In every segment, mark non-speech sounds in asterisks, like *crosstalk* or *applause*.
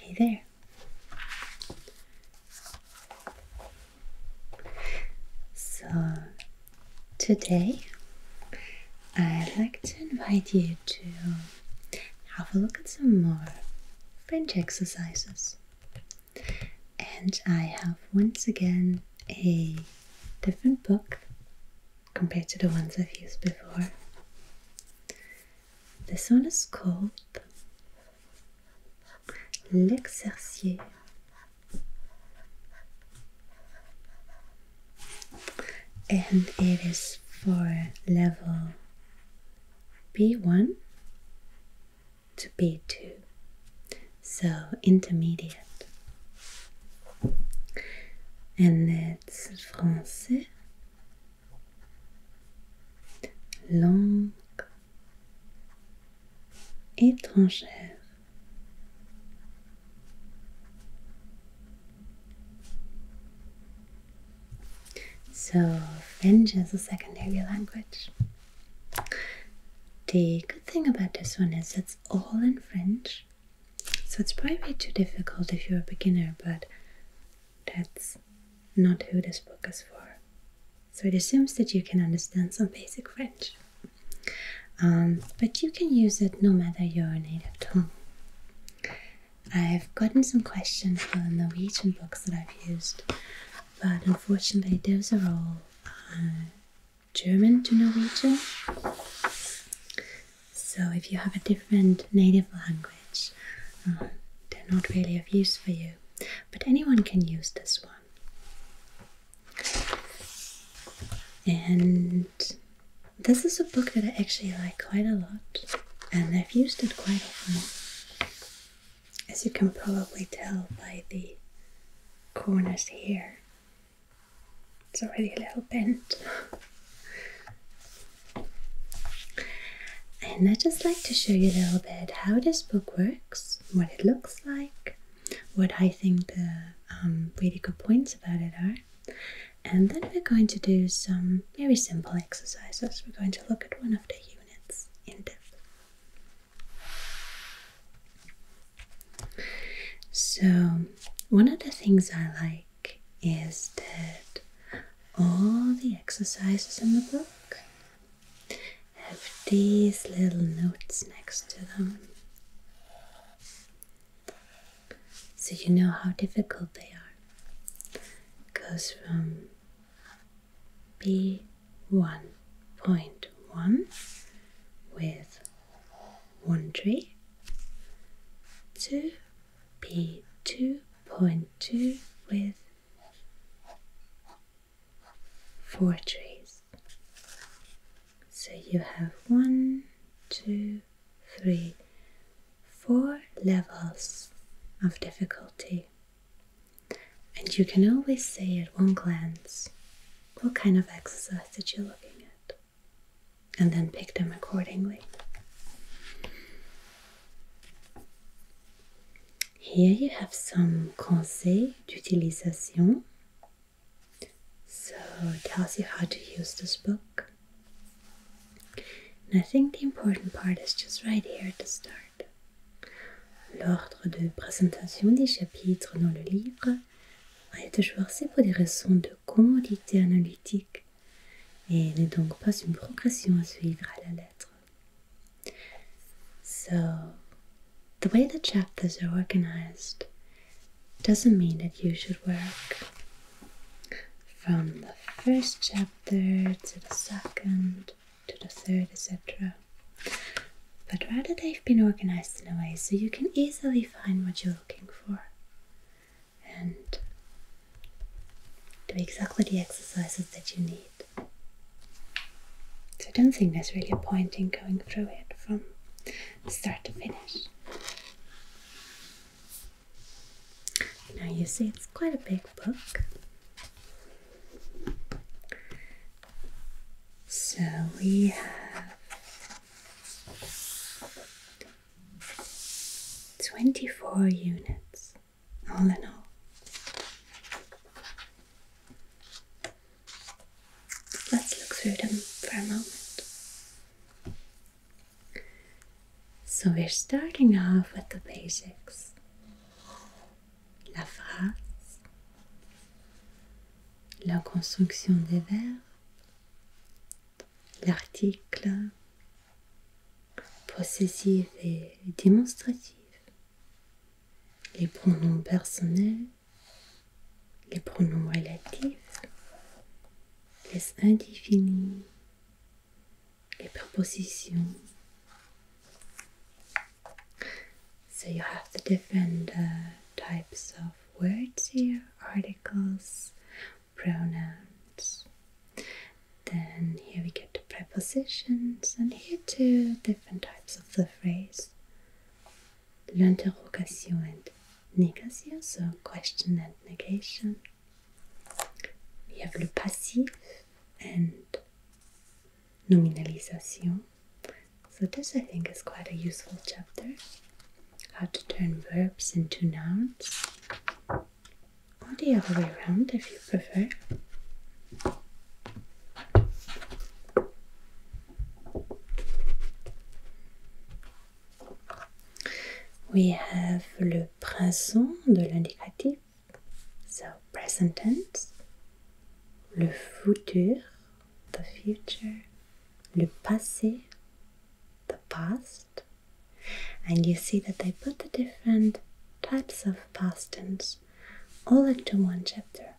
Hey there. So, today I'd like to invite you to have a look at some more French exercises. And I have once again a different book compared to the ones I've used before. this one is called l'exercier, and it is for level B1 to B2, so intermediate. And it's French, Langue étrangère. So, French is a secondary language. The good thing about this one is it's all in French. So it's probably too difficult if you're a beginner, but that's not who this book is for. So it assumes that you can understand some basic French. Um, but you can use it no matter your native tongue. I've gotten some questions for the Norwegian books that I've used, but unfortunately, those are all uh, German to Norwegian. So, if you have a different native language, uh, they're not really of use for you, but anyone can use this one. And this is a book that I actually like quite a lot, and I've used it quite often, as you can probably tell by the corners here. It's already a little bent. and I just like to show you a little bit how this book works, what it looks like, what I think the um, really good points about it are. And then we're going to do some very simple exercises. We're going to look at one of the units in depth. So, one of the things I like is that all the exercises in the book have these little notes next to them. So you know how difficult they are. goes from B1.1 with one tree, two, p two point two with four trees. So you have one, two, three, four levels of difficulty. And you can always see at one glance what kind of exercise that you're looking at and then pick them accordingly. Here you have some conseils d'utilisation. So it tells you how to use this book. And I think the important part is just right here at the start. L'ordre de présentation des chapitres dans le livre va être choisie pour des raisons de commodité analytique et n'est donc not a progression to follow à the letter. So, the way the chapters are organized doesn't mean that you should work from the first chapter to the second to the third, etc. But rather, they've been organized in a way so you can easily find what you're looking for and do exactly the exercises that you need. So I don't think there's really a point in going through it from start to finish. Now you see it's quite a big book. So we have 24 units, all in all. Let's look through them for a moment. So we're starting off with the basics. La phrase, la construction des verbes, l'article possessif et démonstratif, les pronoms personnels, les pronoms relatifs, les indéfinis, les propositions. So you have the different types of words here, articles, pronouns. Then here we get the prepositions, and here two different types of the phrase l'interrogation and negation, so question and negation. We have le passif and nominalisation. So, this I think is quite a useful chapter. how to turn verbs into nouns, or the other way around if you prefer. We have le présent de l'indicatif, so present tense, le futur, the future, le passé, the past and you see that they put the different types of past tense all into one chapter.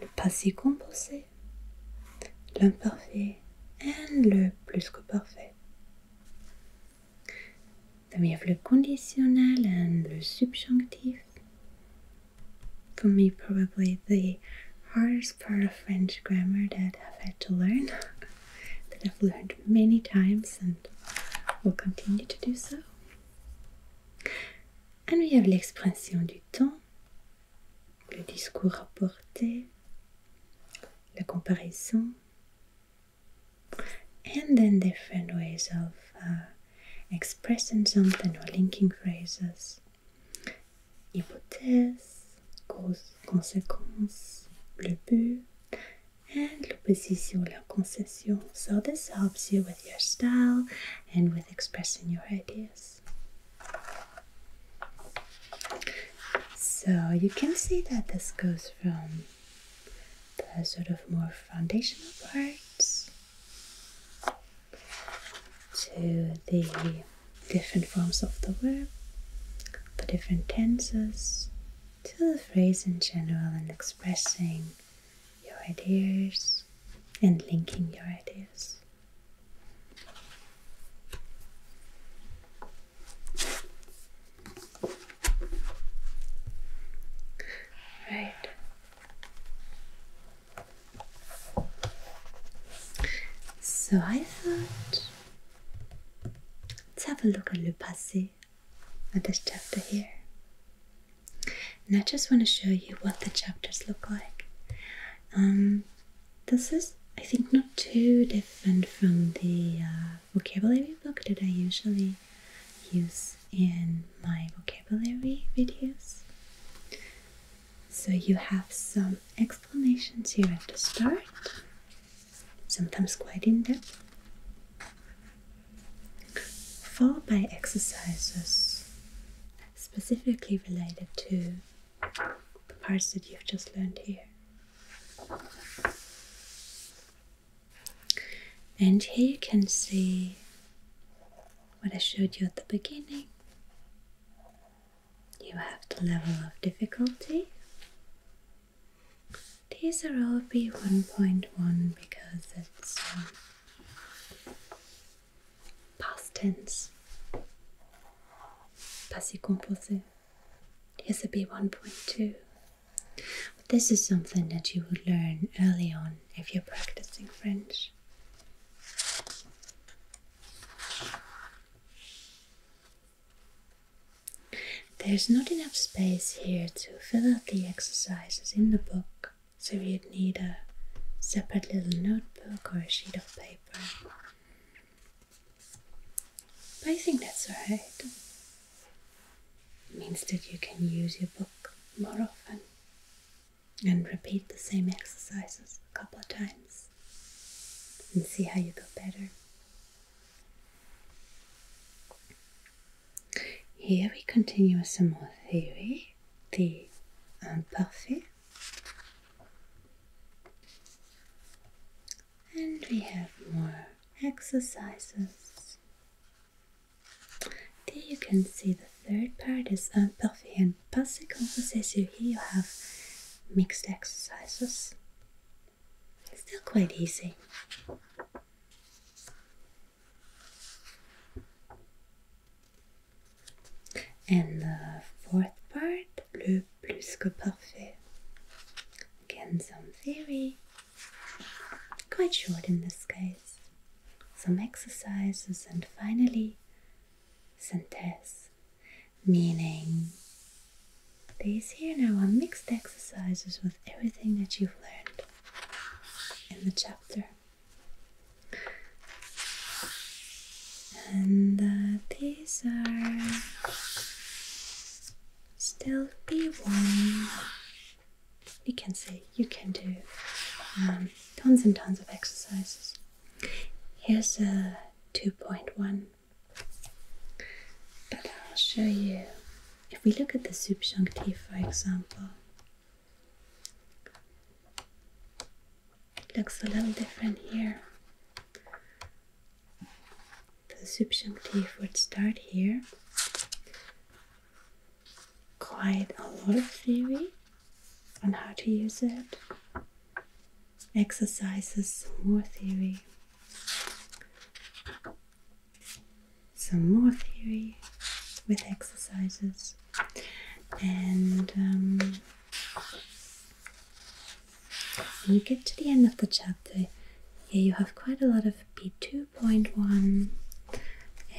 Le passé composé, l'imparfait and le plus que parfait. Then we have le conditionnel and le subjonctif for me probably the hardest part of French grammar that I've had to learn, *laughs* that I've learned many times and will continue to do so. And we have l'expression du temps, le discours rapporté, la comparaison, and then different ways of uh, expressing something or linking phrases hypothèse, cause, consequences, le but, and l'opposition, la concession. So this helps you with your style and with expressing your ideas. So you can see that this goes from the sort of more foundational parts to the different forms of the verb, the different tenses, to the phrase in general and expressing your ideas and linking your ideas. Right. So I thought, let's have a look at Le Passé, at this chapter here. And I just want to show you what the chapters look like. Um, this is, I think, not too different from the uh, vocabulary book that I usually use in my vocabulary videos. So you have some explanations here at the start, sometimes quite in depth, followed by exercises specifically related to the parts that you've just learned here. And here you can see what I showed you at the beginning you have the level of difficulty. These are all B1.1 because it's um, past tense, passé composé. This is B B1.2. This is something that you would learn early on if you're practicing French. There's not enough space here to fill out the exercises in the book, so you'd need a separate little notebook or a sheet of paper. But I think that's right. It means that you can use your book more often and repeat the same exercises a couple of times and see how you go better. Here we continue with some more theory, the imparfait. Um, and we have more exercises. There you can see the third part is Imparfait uh, and Passé Composé. Here you have mixed exercises. Still quite easy. And fourth part, Le Plus que Parfait. Again, some theory. Quite short in this case. Some exercises, and finally, sentence, meaning. These here now are mixed exercises with everything that you've learned in the chapter. And uh, these are still B1. You can see, you can do um, tons and tons of exercises. Here's a 2.1. But I'll show you. If we look at the subjunctive, for example, it looks a little different here. The subjunctive would start here. Quite a lot of theory on how to use it, exercises, more theory, some more theory with exercises, and um, when you get to the end of the chapter, here you have quite a lot of B2.1,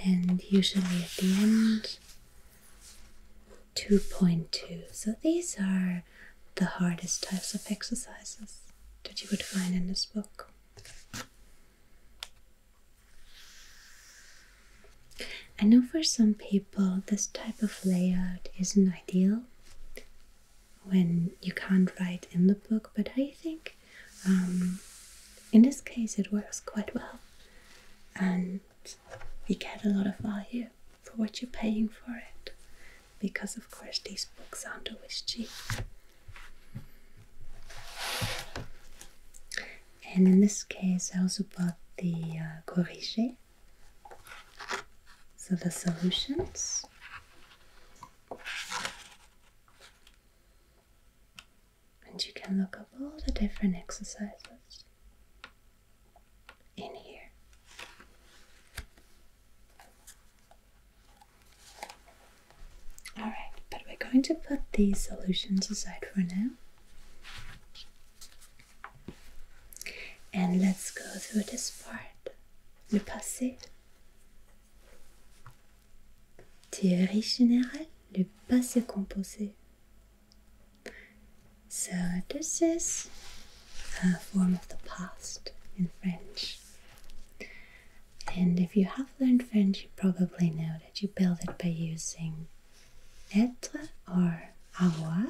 and usually at the end 2.2. So these are the hardest types of exercises that you would find in this book. I know for some people this type of layout isn't ideal when you can't write in the book, but I think um, in this case it works quite well. And you get a lot of value for what you're paying for it because of course these books aren't always cheap and in this case I also bought the uh, corrige so the solutions and you can look up all the different exercises in here. Alright, but we're going to put these solutions aside for now. And let's go through this part. Le passé. Théorie générale, le passé composé. So, this is a form of the past in French. And if you have learned French, you probably know that you build it by using être or avoir.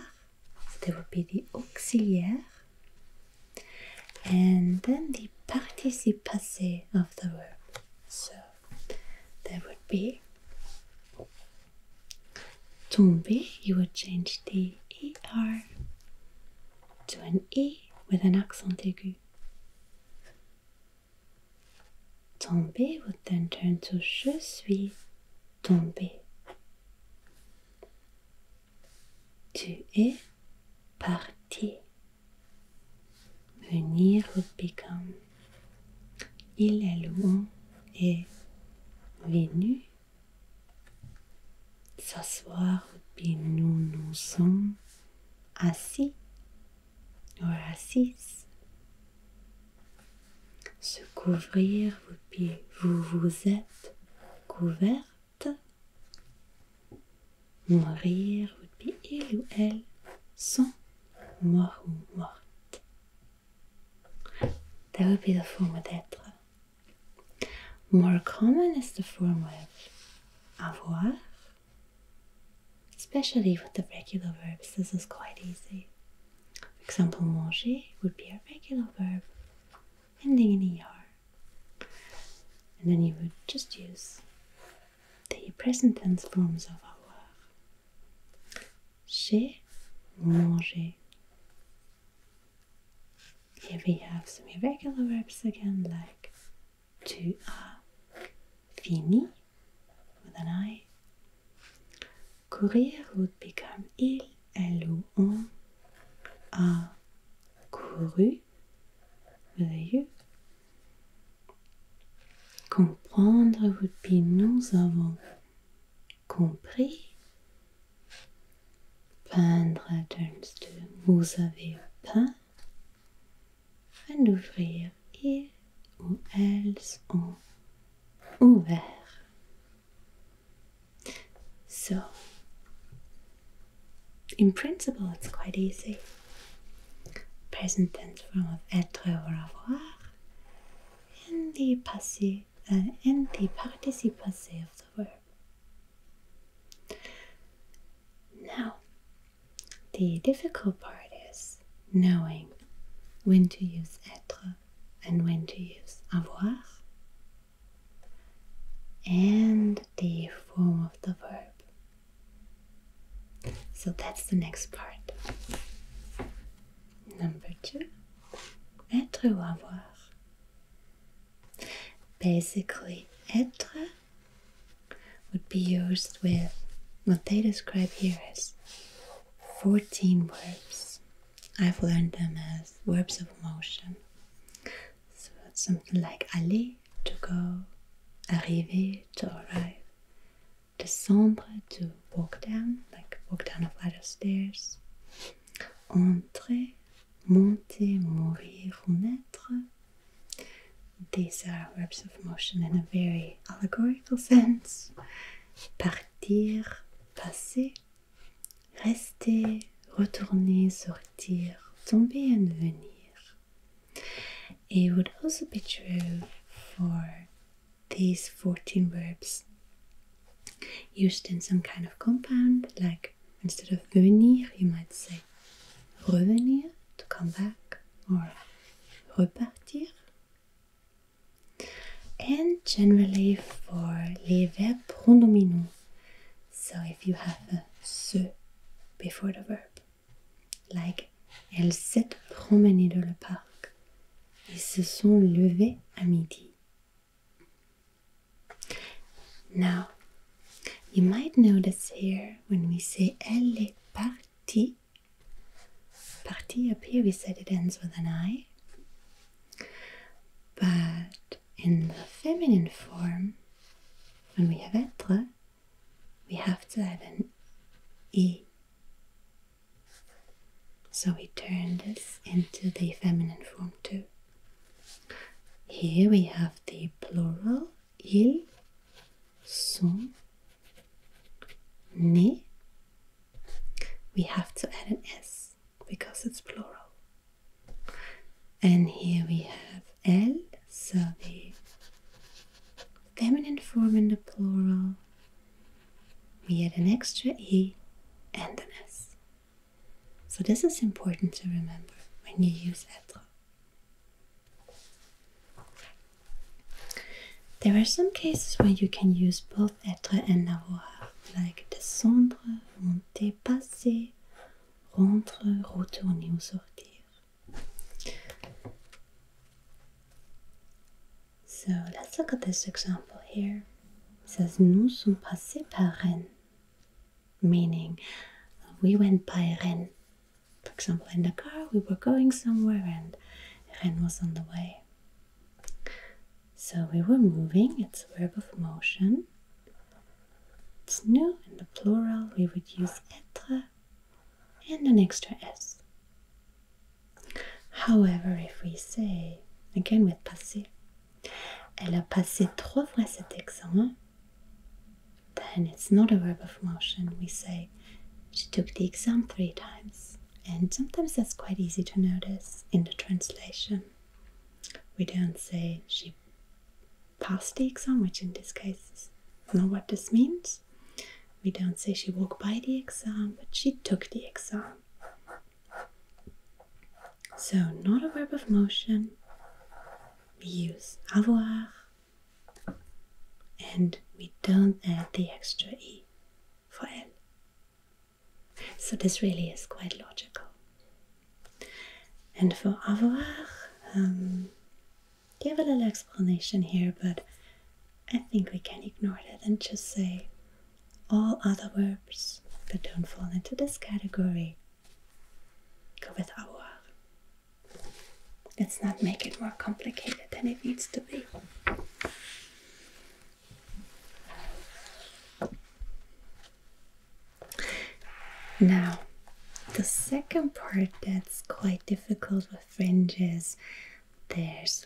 So there would be the auxiliaire and then the participe passé of the verb. So there would be tombe. You would change the er to an e with an accent aigu. Tombe would then turn to je suis tombé. Tu es parti. Venir would become il est loin et venu s'asseoir puis nous nous sommes assis ou assises. Se couvrir, pieds, vous vous êtes couverte. Mourir, puis il ou elle sont morts ou mortes. That would be the form forme être. More common is the form of avoir, especially with the regular verbs. This is quite easy. For example, manger would be a regular verb ending in er. And then you would just use the present tense forms of avoir. J'ai mangé. Here we have some irregular verbs again, like tu as fini with an I. Courir would become il, elle ou on a couru with a you. Comprendre would be nous avons compris. Peindre turns to vous avez peint. And ouvrir here ou elles ont ouvert. So, in principle, it's quite easy. Present tense form of être or avoir in the passive uh, and the participle of the verb. Now, the difficult part is knowing when to use être and when to use avoir and the form of the verb. So that's the next part. Number two, être ou avoir. Basically, être would be used with what they describe here as 14 verbs. I've learned them as verbs of motion. So it's something like aller, to go, arriver, to arrive, Descendre to walk down, like walk down a flight of stairs. Entrer, monter, mourir, renaître. These are verbs of motion in a very allegorical sense. Partir, passer. Rester, retourner, sortir, tomber and venir. It would also be true for these 14 verbs used in some kind of compound, like instead of venir, you might say revenir, to come back, or repartir. And generally for les verbes pronominaux, so if you have a se before the verb, like elle s'est promenées dans le parc et se sont levées à midi. Now, you might notice here when we say elle est partie, partie up here we said it ends with an I, but in the feminine form, when we have être, we have to have an E So we turn this into the feminine form too. Here we have the plural il, sont, nés. We have to add an s because it's plural. And here we have el, so the feminine form in the plural, we add an extra E and an S. So this is important to remember when you use être. There are some cases where you can use both être and avoir, like descendre, monter, passer, rentrer, retourner ou sortir. So let's look at this example here. It says nous sommes passés par Rennes, meaning we went by Rennes. For example, in the car we were going somewhere and Rennes was on the way. So we were moving, it's a verb of motion. It's nous in the plural we would use être and an extra s. However, if we say, again with passé, elle a passé trois fois cet examen, then it's not a verb of motion. We say, she took the exam three times. And sometimes that's quite easy to notice in the translation. We don't say she passed the exam, which in this case is not what this means. We don't say she walked by the exam, but she took the exam. So, not a verb of motion. We use avoir and we don't add the extra e for elle. So, this really is quite logical. And for avoir, um, give a little explanation here, but I think we can ignore that and just say all other verbs that don't fall into this category go with avoir. Let's not make it more complicated than it needs to be. Now, the second part that's quite difficult with fringes, there's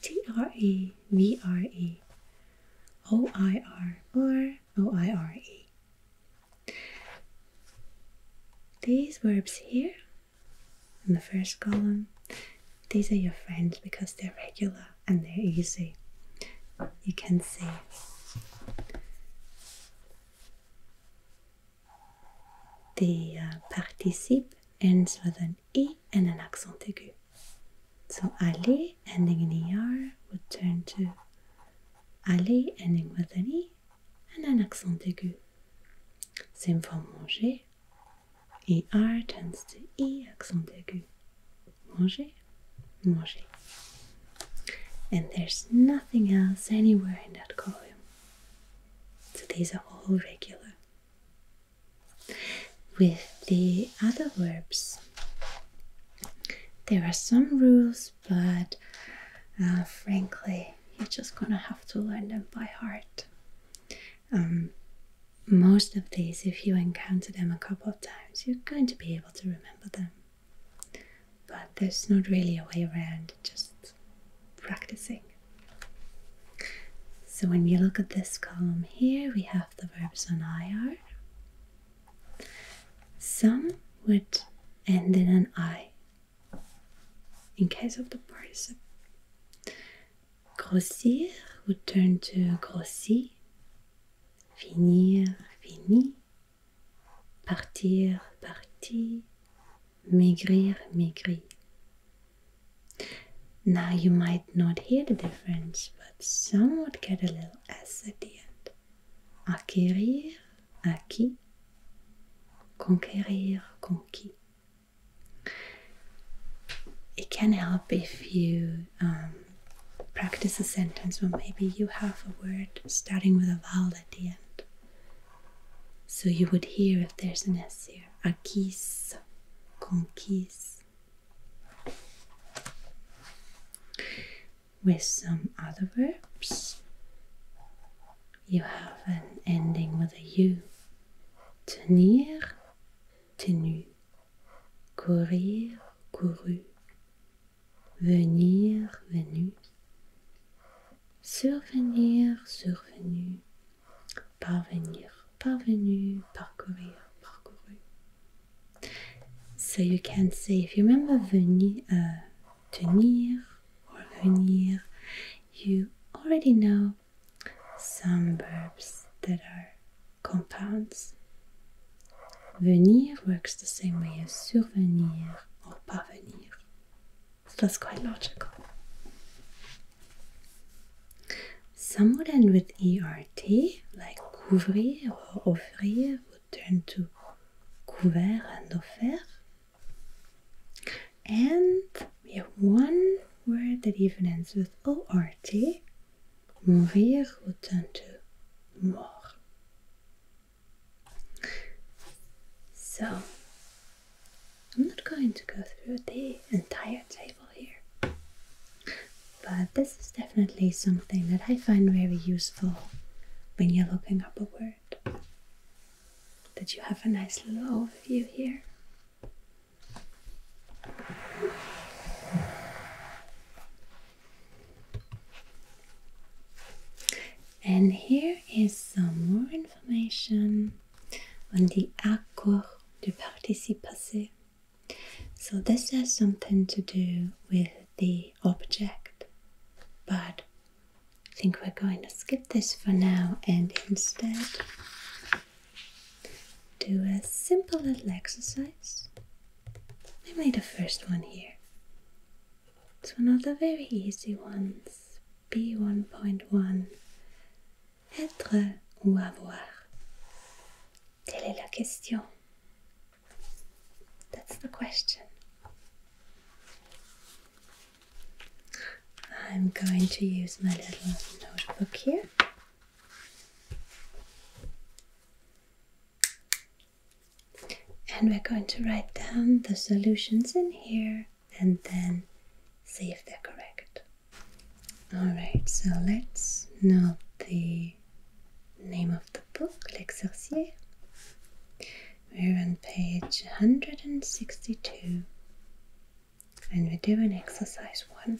T R E V R E O I R These verbs here in the first column, these are your friends because they're regular and they're easy. You can see. The uh, participle ends with an an and an accent aigu. So aller ending in ER would turn to aller ending with an E and an accent aigu. Same for manger. ER turns to E, accent aigu. Manger, manger. And there's nothing else anywhere in that column. So these are all regular. With the other verbs, there are some rules, but uh, frankly, you're just gonna have to learn them by heart. Um, most of these, if you encounter them a couple of times, you're going to be able to remember them. But there's not really a way around just practicing. So when you look at this column here, we have the verbs on IR. Some would end in an I in case of the participle. Grossir would turn to grossi, finir, fini, partir, parti, maigrir, maigri. Now you might not hear the difference, but some would get a little S at the end. Acquérir, acquis. Conquérir, conquis. It can help if you um, practice a sentence where maybe you have a word starting with a vowel at the end. So you would hear if there's an S a kiss conquise with some other verbs you have an ending with a u tenir tenu courir couru venir venu survenir survenu Parvenir, parvenu, parcourir, parcouru. So you can say, if you remember venir, uh, tenir or venir, you already know some verbs that are compounds. Venir works the same way as survenir or parvenir. So that's quite logical. Some would end with ERT, like couvrir or offrir would turn to couvert and offert. And we have one word that even ends with ORT. Mourir would turn to mort. So I'm not going to go through the entire table here, but this is definitely something that I find very useful when you're looking up a word. That you have a nice little overview here. And here is some more information on the accord du participe So this has something to do with the object, but I think we're going to skip this for now and instead do a simple little exercise. I made the first one here. It's one of the very easy ones, B1.1. Être ou avoir Telle est la question. That's the question. I'm going to use my little notebook here. And we're going to write down the solutions in here and then see if they're correct. Alright, so let's note the name of the book, L'Exorcier. We're on page 162 and we're doing exercise one.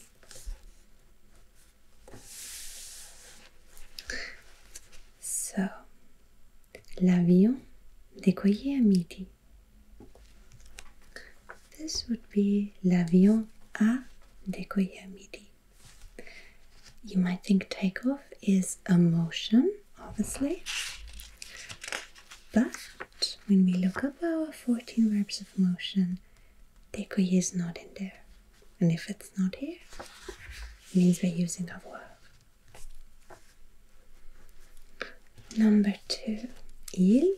So, l'avion décollait à midi. This would be l'avion a décollé You might think takeoff is a motion, obviously, but when we look up our 14 verbs of motion, décollé is not in there. And if it's not here, it means we're using a verb. Number two, il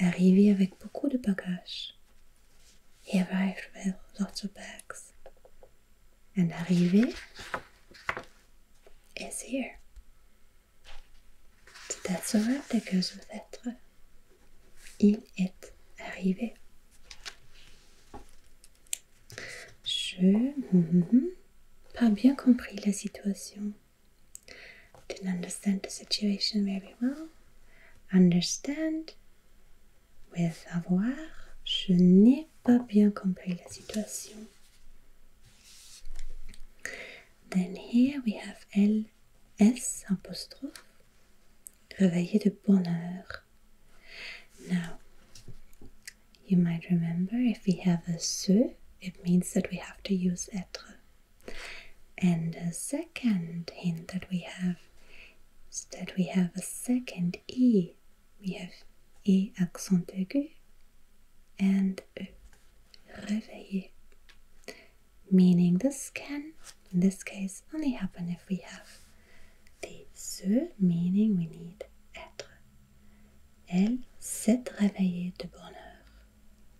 Arrivé avec beaucoup de bagages. He arrived with lots of bags. And arrivé is here. C'est that's a word que goes with être. Il est arrivé. Je. n'ai mm-hmm, Pas bien compris la situation. Didn't understand the situation very well. Understand with avoir. Je n'ai pas bien compris la situation. Then here we have L, S apostrophe. Réveillé de bonheur. Now, you might remember if we have a ce, it means that we have to use être. And a second hint that we have is that we have a second E. We have E accent aigu and E réveillé, meaning this can, in this case, only happen if we have the se, meaning we need être. Elle s'est réveillée de bonne heure.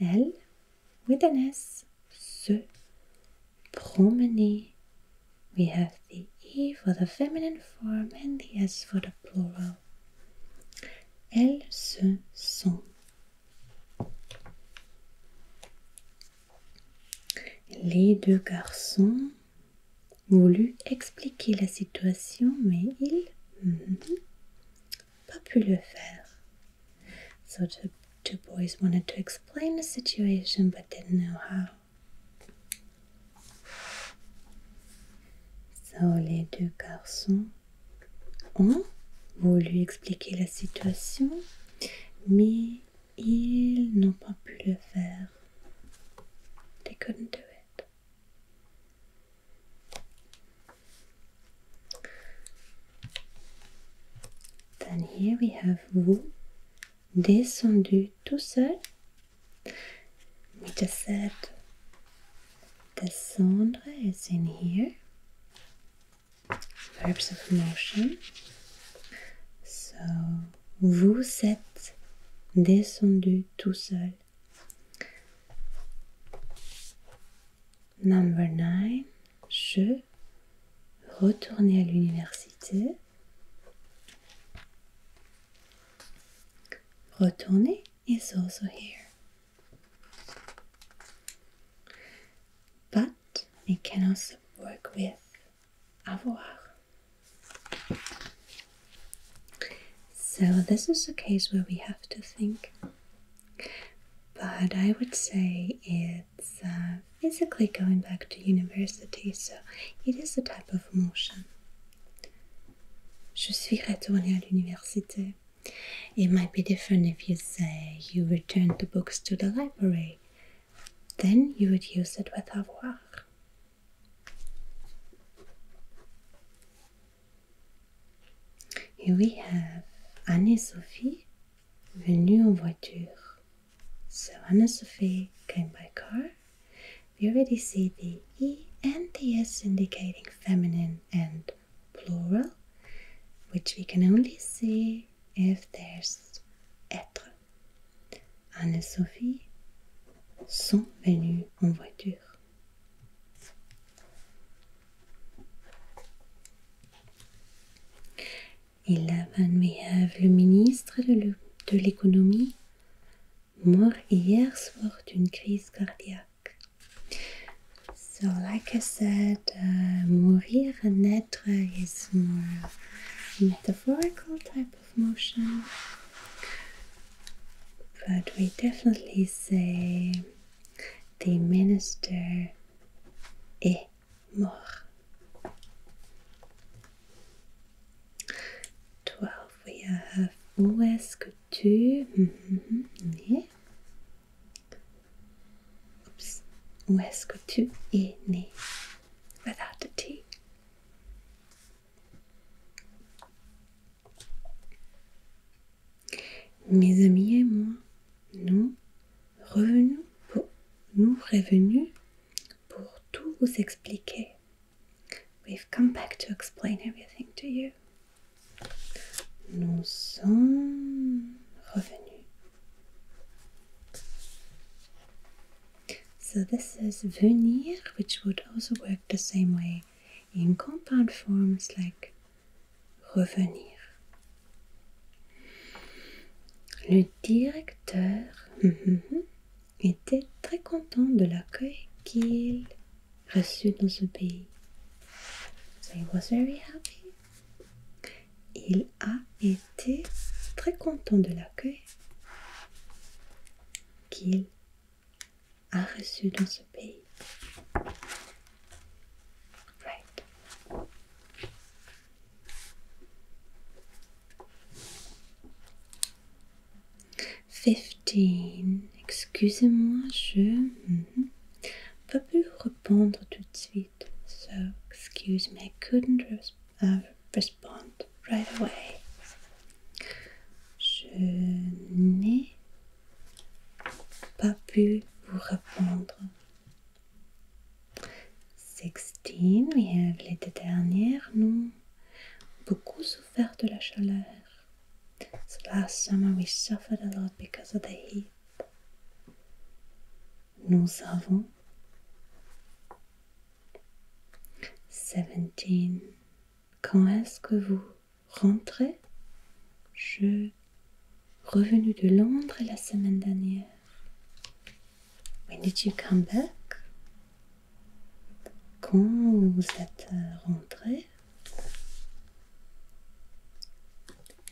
Elle, with an S, se promener. We have the E for the feminine form and the S for the plural. elle, se sont. Les deux garçons voulu expliquer la situation, mais ils pas pu le faire. So the two boys wanted to explain the situation but didn't know how. So les deux garçons ont voulu expliquer la situation, mais ils n'ont pas pu le faire. They couldn't do it. Then here we have vous descendu tout seul. We just said descendre is in here. Verbs of motion. So vous êtes descendu tout seul. Number 9. Je retourner à l'université. Retourner is also here. But it can also work with avoir. So, this is a case where we have to think but I would say it's uh, basically going back to university, so it is a type of motion. Je suis retournée à l'université. It might be different if you say you returned the books to the library. Then you would use it with avoir. Here we have Anne-Sophie venue en voiture. So Anne-Sophie came by car. We already see the E and the S indicating feminine and plural, which we can only see if there's être. Anne-Sophie sont venues en voiture. 11 we have le ministre de l'économie mort hier soir d'une crise cardiaque. So, like I said, uh, mourir and naître is more metaphorical type of motion, but we definitely say the minister is more. Twelve, we have où est-ce que tu? Mm, mm, mm, mm Oops. Où tu es né? Without a T. Mes amis et moi, nous revenus nous revenus pour tout vous expliquer. We've come back to explain everything to you. Nous sommes revenus. So this is venir, which would also work the same way in compound forms like revenir. Le directeur mm-hmm, était très content de l'accueil qu'il reçut dans ce pays. So he was very happy. Il a été très content de l'accueil qu'il a reçu dans ce pays. Right. Fifteen. Excusez-moi, je ne mm-hmm. peux plus répondre tout de suite. So, excuse me, I couldn't uh, respond right away. Je n'ai pas pu vous répondre. les deux dernières, nous beaucoup souffert de la chaleur. last summer we suffered a lot because of the heat. Nous avons 17. Quand est-ce que vous rentré. Je revenu de Londres la semaine dernière. When did you come back? Quand vous êtes euh, rentré?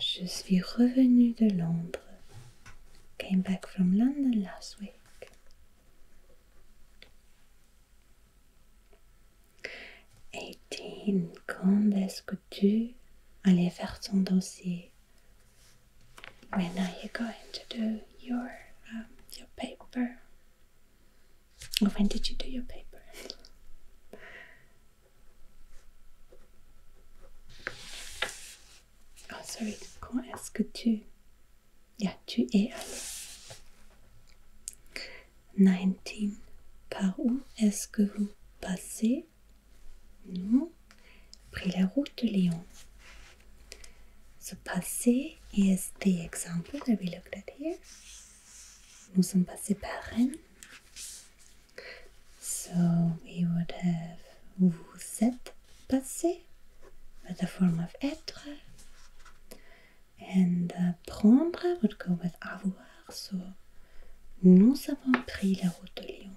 Je suis revenu de Londres. Came back from London last week. 18, quand est-ce que tu allais faire ton dossier? When are you going to do your um, your paper? when did you do your paper? Oh sorry, quand est-ce que tu, yeah, tu es allé? 19. Par où est-ce que vous passez Nous, pris la route de Lyon. So, passer is the example that we looked at here. Nous sommes passés par Rennes. So we would have vous êtes passé with the form of être. And uh, prendre would go with avoir, so nous avons pris la route de Lyon.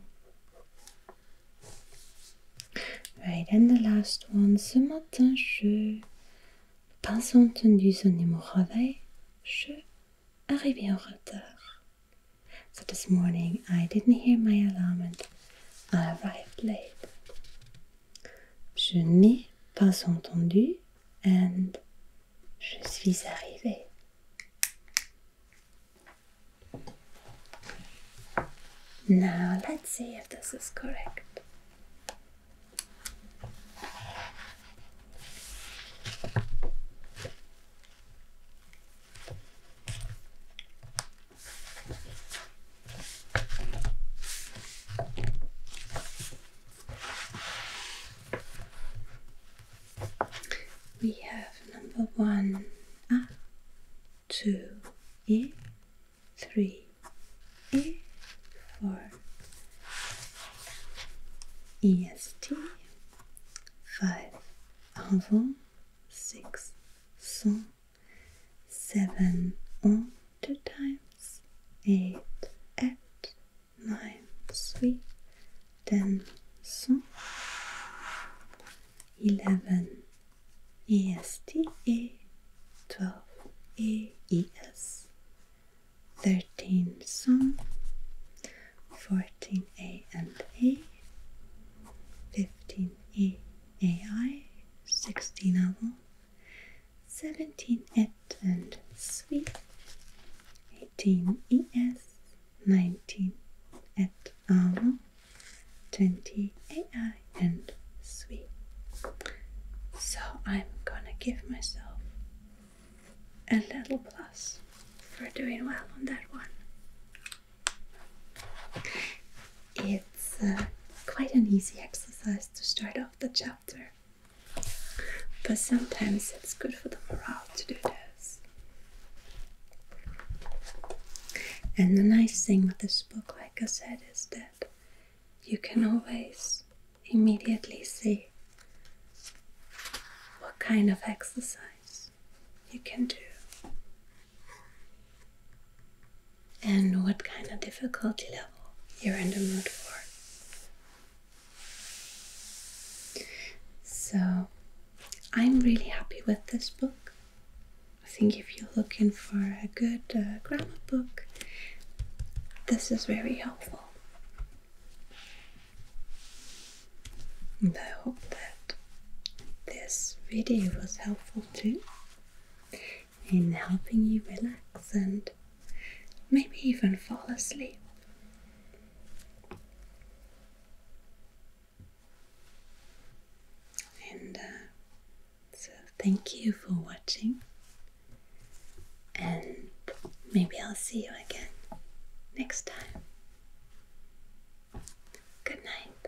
Right, and the last one. Ce matin, je pas entendu sonner mon réveil. Je arrivé en retard. So this morning, I didn't hear my alarm and I arrived late. Je n'ai pas entendu and Je suis arrivée. Now let's see if this is correct. We have number one, a, ah, two, eh, eh, e, three, e, four, est, five, avant, six, son, seven, on two times, eight, at, neun, three, ten, son, eleven, EST, twelve, AES, thirteen, son, fourteen, A fifteen, E, sixteen, Avon. 17 at and sweet, 18 ES, 19 at armor, 20 AI and sweet. So I'm gonna give myself a little plus for doing well on that one. It's uh, quite an easy exercise to start off the chapter. But sometimes it's good for the morale to do this. And the nice thing with this book, like I said, is that you can always immediately see what kind of exercise you can do and what kind of difficulty level you're in the mood for. So I'm really happy with this book. I think if you're looking for a good uh, grammar book, this is very helpful. And I hope that this video was helpful too in helping you relax and maybe even fall asleep. And uh, so, thank you for watching, and maybe I'll see you again next time. Good night.